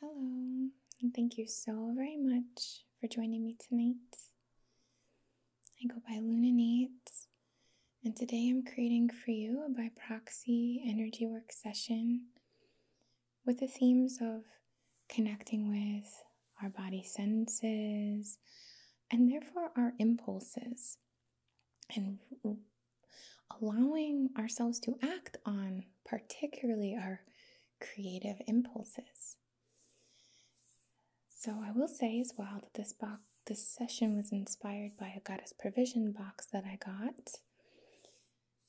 Hello, and thank you so very much for joining me tonight. I go by Luna Nates, and today I'm creating for you a by proxy energy work session with the themes of connecting with our body senses and therefore our impulses and allowing ourselves to act on particularly our creative impulses. So I will say as well that this box this session was inspired by a goddess provision box that I got,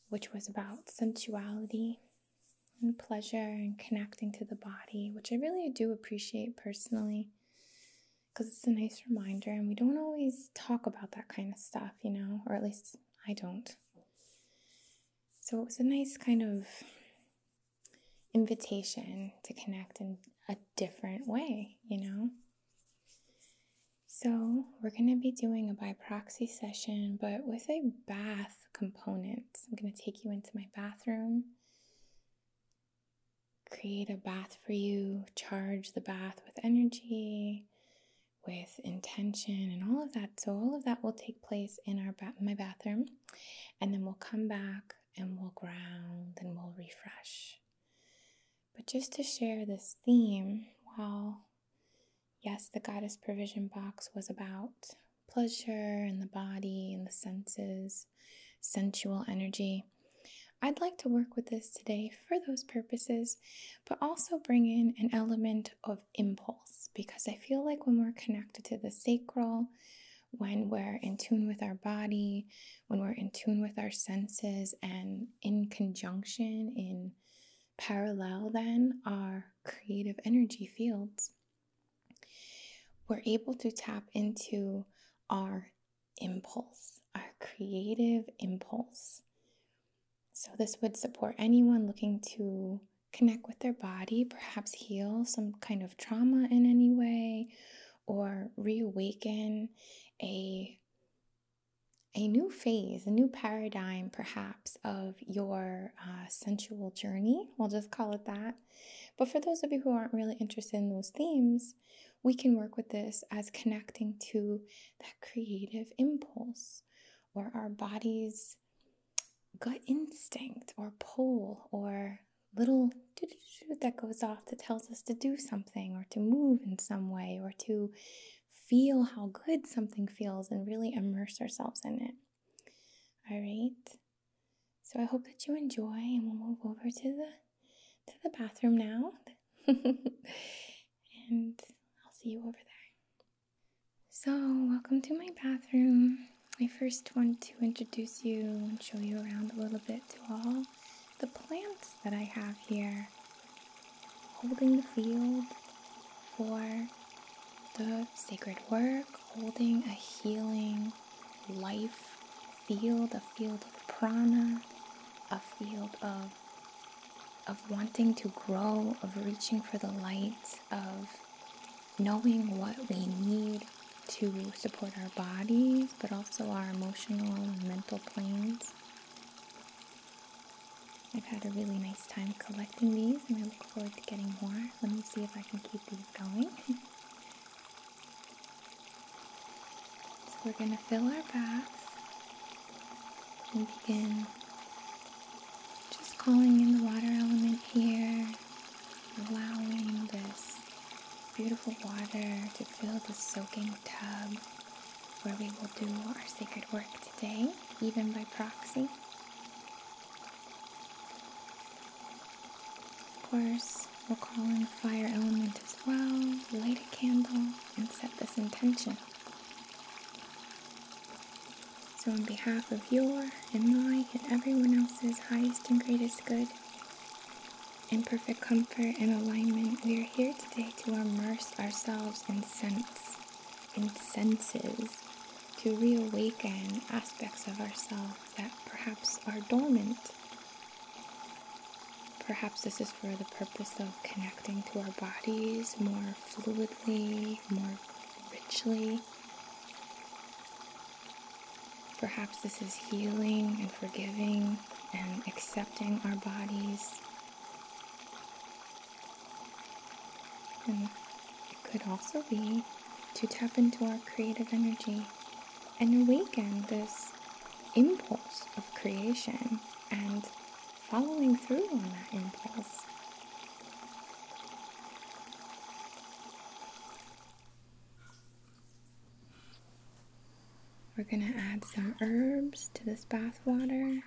which was about sensuality and pleasure and connecting to the body, which I really do appreciate personally because it's a nice reminder and we don't always talk about that kind of stuff, you know, or at least I don't. So it was a nice kind of invitation to connect in a different way, you know? So, we're going to be doing a by proxy session, but with a bath component. I'm going to take you into my bathroom, create a bath for you, charge the bath with energy, with intention and all of that. So all of that will take place in our my bathroom, and then we'll come back and we'll ground and we'll refresh. But just to share this theme, well, yes, the goddess provision box was about pleasure and the body and the senses, sensual energy. I'd like to work with this today for those purposes, but also bring in an element of impulse because I feel like when we're connected to the sacral, when we're in tune with our body, when we're in tune with our senses, and in conjunction, in parallel, then our creative energy fields, we're able to tap into our impulse, our creative impulse. So, this would support anyone looking to connect with their body, perhaps heal some kind of trauma in any way, or reawaken a a new phase, a new paradigm, perhaps, of your uh, sensual journey. We'll just call it that. But for those of you who aren't really interested in those themes, we can work with this as connecting to that creative impulse or our body's gut instinct or pull or little that goes off that tells us to do something or to move in some way or to feel how good something feels and really immerse ourselves in it. All right. So I hope that you enjoy and we'll move over to the to the bathroom now. and I'll see you over there. So, welcome to my bathroom. I first want to introduce you and show you around a little bit to all the plants that I have here, holding the field for the sacred work, holding a healing life field, a field of prana, a field of of wanting to grow, of reaching for the light, of knowing what we need to support our bodies, but also our emotional and mental planes. I've had a really nice time collecting these and I look forward to getting more. Let me see if I can keep these going. so we're going to fill our bath and begin just calling in the water element here, allowing this beautiful water to fill the soaking tub where we will do our sacred work today, even by proxy. Of course, we'll call in the fire element as well, light a candle, and set this intention. So, on behalf of your and my and everyone else's highest and greatest good, in perfect comfort and alignment, we are here today to immerse ourselves in sense, in senses, to reawaken aspects of ourselves that perhaps are dormant. Perhaps this is for the purpose of connecting to our bodies more fluidly, more richly. Perhaps this is healing and forgiving and accepting our bodies. And it could also be to tap into our creative energy and awaken this impulse of creation and following through on that impulse. We're going to add some herbs to this bath water.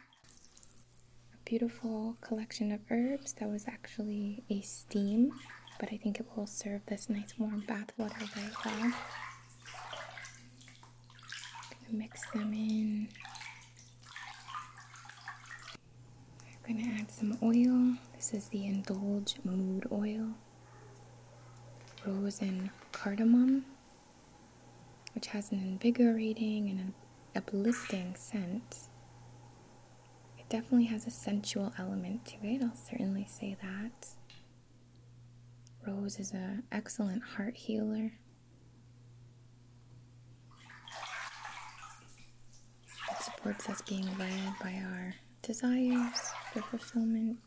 A beautiful collection of herbs that was actually a steam, but I think it will serve this nice warm bath water very well mix them in. I'm gonna add some oil. This is the Indulge Mood Oil, Rose and Cardamom, which has an invigorating and uplifting scent. It definitely has a sensual element to it, I'll certainly say that. Rose is an excellent heart healer. It supports us being led by our desires for fulfillment.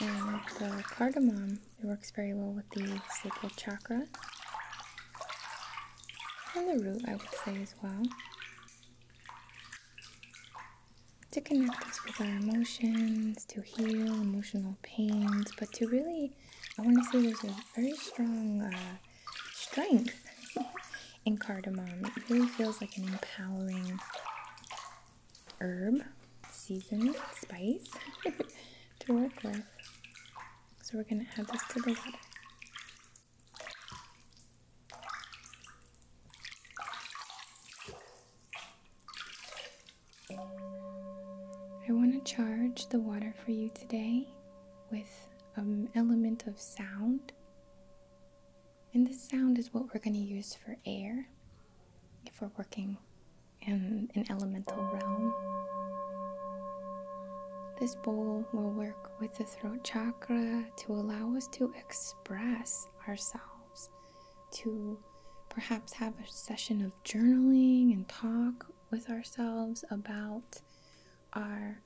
And the cardamom, it works very well with the sacral chakra. And the root, I would say as well. To connect us with our emotions, to heal emotional pains, but to really, I want to say there's a very strong uh, strength in cardamom. It really feels like an empowering herb, season, spice to work with. So we're going to add this to the water. I want to charge the water for you today with an element of sound. And this sound is what we're going to use for air if we're working in an elemental realm. This bowl will work with the throat chakra to allow us to express ourselves, to perhaps have a session of journaling and talk with ourselves about our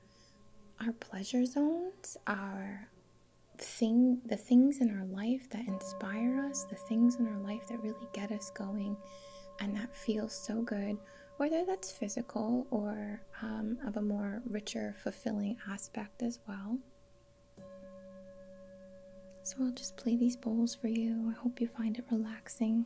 our pleasure zones, our thing the things in our life that inspire us, the things in our life that really get us going and that feels so good, whether that's physical or um, of a more richer, fulfilling aspect as well. So I'll just play these bowls for you. I hope you find it relaxing.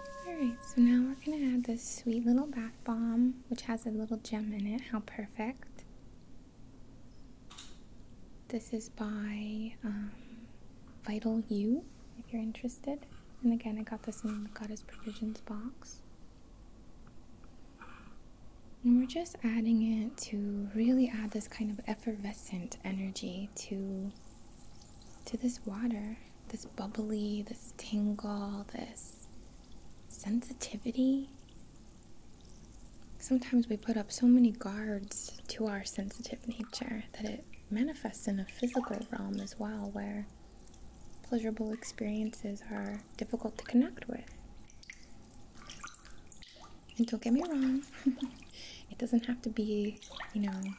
Alright, so now we're going to add this sweet little bath bomb, which has a little gem in it. How perfect. This is by um, Vital You, if you're interested. And again, I got this in the Goddess Provisions box. And we're just adding it to really add this kind of effervescent energy to to this water, this bubbly, this tingle, this sensitivity. Sometimes we put up so many guards to our sensitive nature that it manifests in a physical realm as well, where pleasurable experiences are difficult to connect with. And don't get me wrong, it doesn't have to be, you know,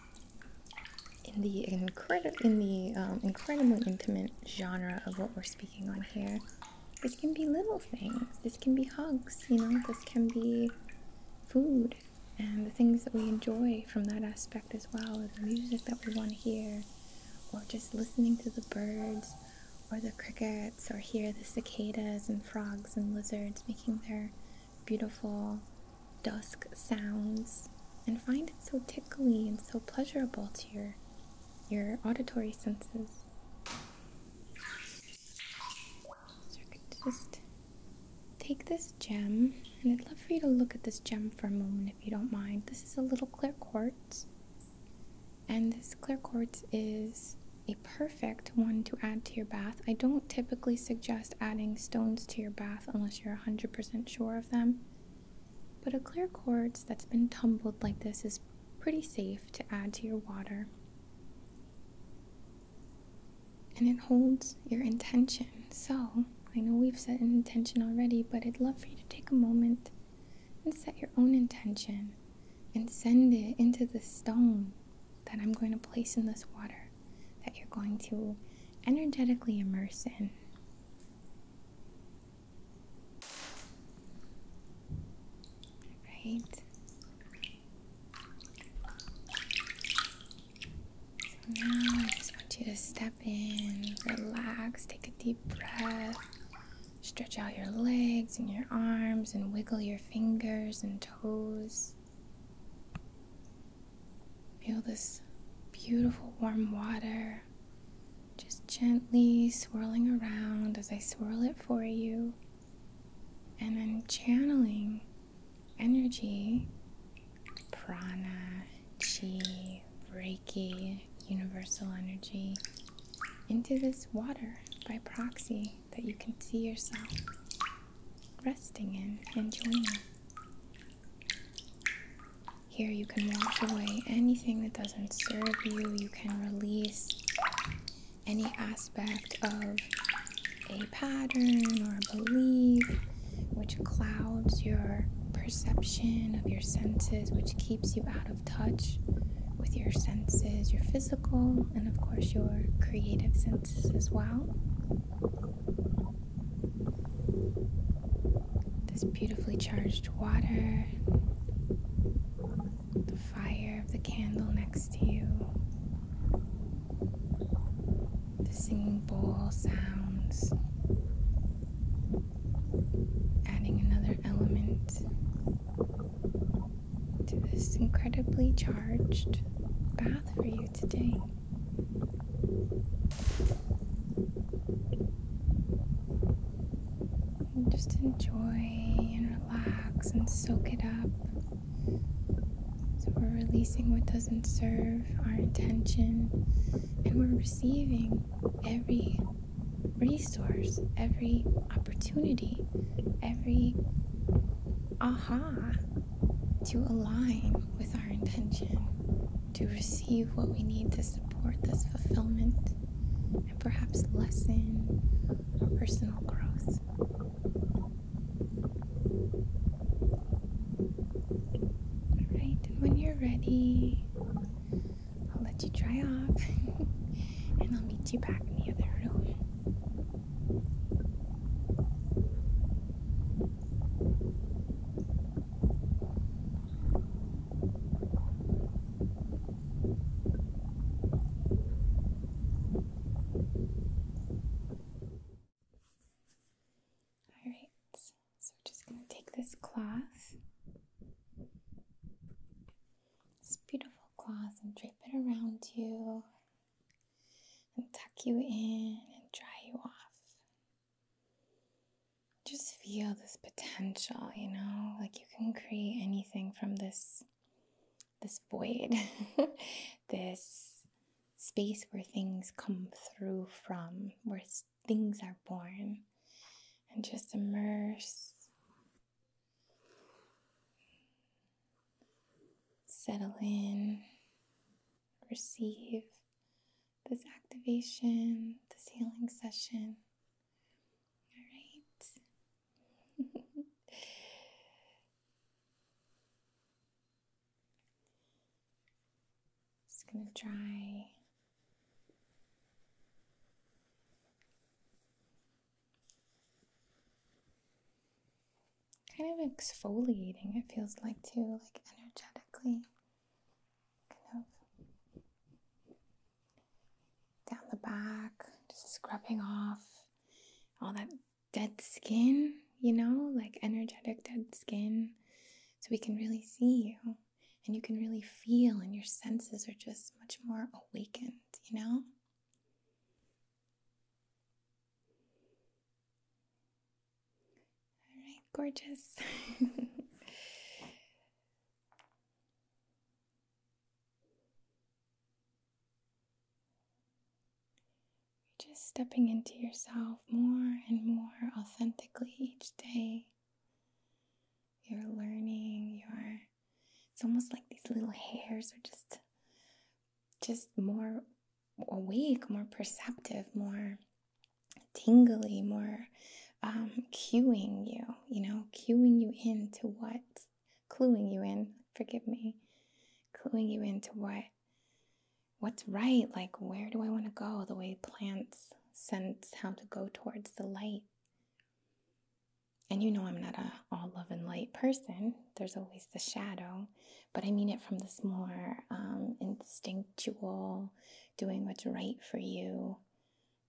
in the incredible in the um, incredibly intimate genre of what we're speaking on here. This can be little things. This can be hugs. You know, this can be food and the things that we enjoy from that aspect as well, or the music that we want to hear, or just listening to the birds or the crickets, or hear the cicadas and frogs and lizards making their beautiful dusk sounds and find it so tickly and so pleasurable to your your auditory senses. So I could just take this gem, and I'd love for you to look at this gem for a moment if you don't mind. This is a little clear quartz, and this clear quartz is a perfect one to add to your bath. I don't typically suggest adding stones to your bath unless you're 100% sure of them, but a clear quartz that's been tumbled like this is pretty safe to add to your water. And it holds your intention. So, I know we've set an intention already, but I'd love for you to take a moment and set your own intention and send it into the stone that I'm going to place in this water that you're going to energetically immerse in. Right? now I just want you to step in, relax, take a deep breath, stretch out your legs and your arms, and wiggle your fingers and toes. Feel this beautiful warm water just gently swirling around as I swirl it for you. And I'm channeling energy, prana, chi, reiki, universal energy, into this water by proxy that you can see yourself resting in and joining. Here you can wash away anything that doesn't serve you, you can release any aspect of a pattern or a belief which clouds your perception of your senses, which keeps you out of touch with your senses, your physical, and of course your creative senses dots as well. This beautifully charged water, the fire of the candle next to you, the singing bowl sounds, adding another element to this incredibly charged bath for you today. just enjoy and relax and soak it up. So we're releasing what doesn't serve our intention and we're receiving every resource, every opportunity, every aha to align with our intention, to receive what we need to support this fulfillment and perhaps lessen our personal growth. Alright, when you're ready, I'll let you dry off and I'll meet you back in the other room. All right, so we're just going to take this cloth, this beautiful cloth, and drape it around you and tuck you in and dry you off. Just feel this potential, you know, like you can create anything from this this void, this space where things come through from, where things are born, and just immerse Settle in, receive this activation, this healing session. All right. Just going to try kind of exfoliating, it feels like, too, like energetically. Kind of down the back, just scrubbing off all that dead skin, you know, like energetic dead skin. So we can really see you and you can really feel, and your senses are just much more awakened, you know? All right, gorgeous. You're just stepping into yourself more and more authentically each day. You're learning, you're it's almost like these little hairs are just just more awake, more perceptive, more tingly, more um, cueing you, you know, cueing you into what, cluing you in, forgive me, cluing you into what, what's right, like where do I want to go, the way plants sense how to go towards the light and you know I'm not a all love and light person. There's always the shadow, but I mean it from this more um, instinctual, doing what's right for you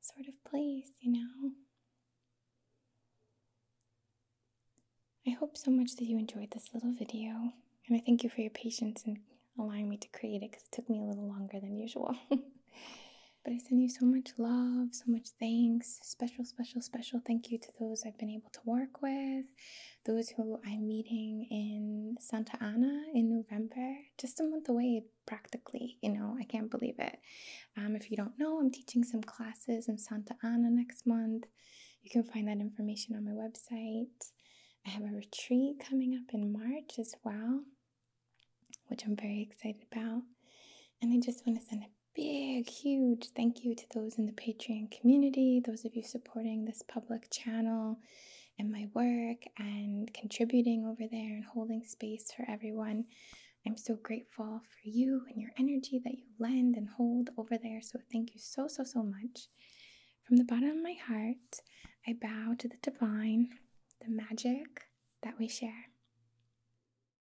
sort of place, you know. I hope so much that you enjoyed this little video, and I thank you for your patience in allowing me to create it because it took me a little longer than usual. but I send you so much love, so much thanks, special, special, special thank you those I've been able to work with, those who I'm meeting in Santa Ana in November, just a month away practically. You know, I can't believe it. Um, if you don't know, I'm teaching some classes in Santa Ana next month. You can find that information on my website. I have a retreat coming up in March as well, which I'm very excited about. And I just want to send a big, huge thank you to those in the Patreon community, those of you supporting this public channel and my work and contributing over there and holding space for everyone. I'm so grateful for you and your energy that you lend and hold over there. So, thank you so, so, so much. From the bottom of my heart, I bow to the divine, the magic that we share.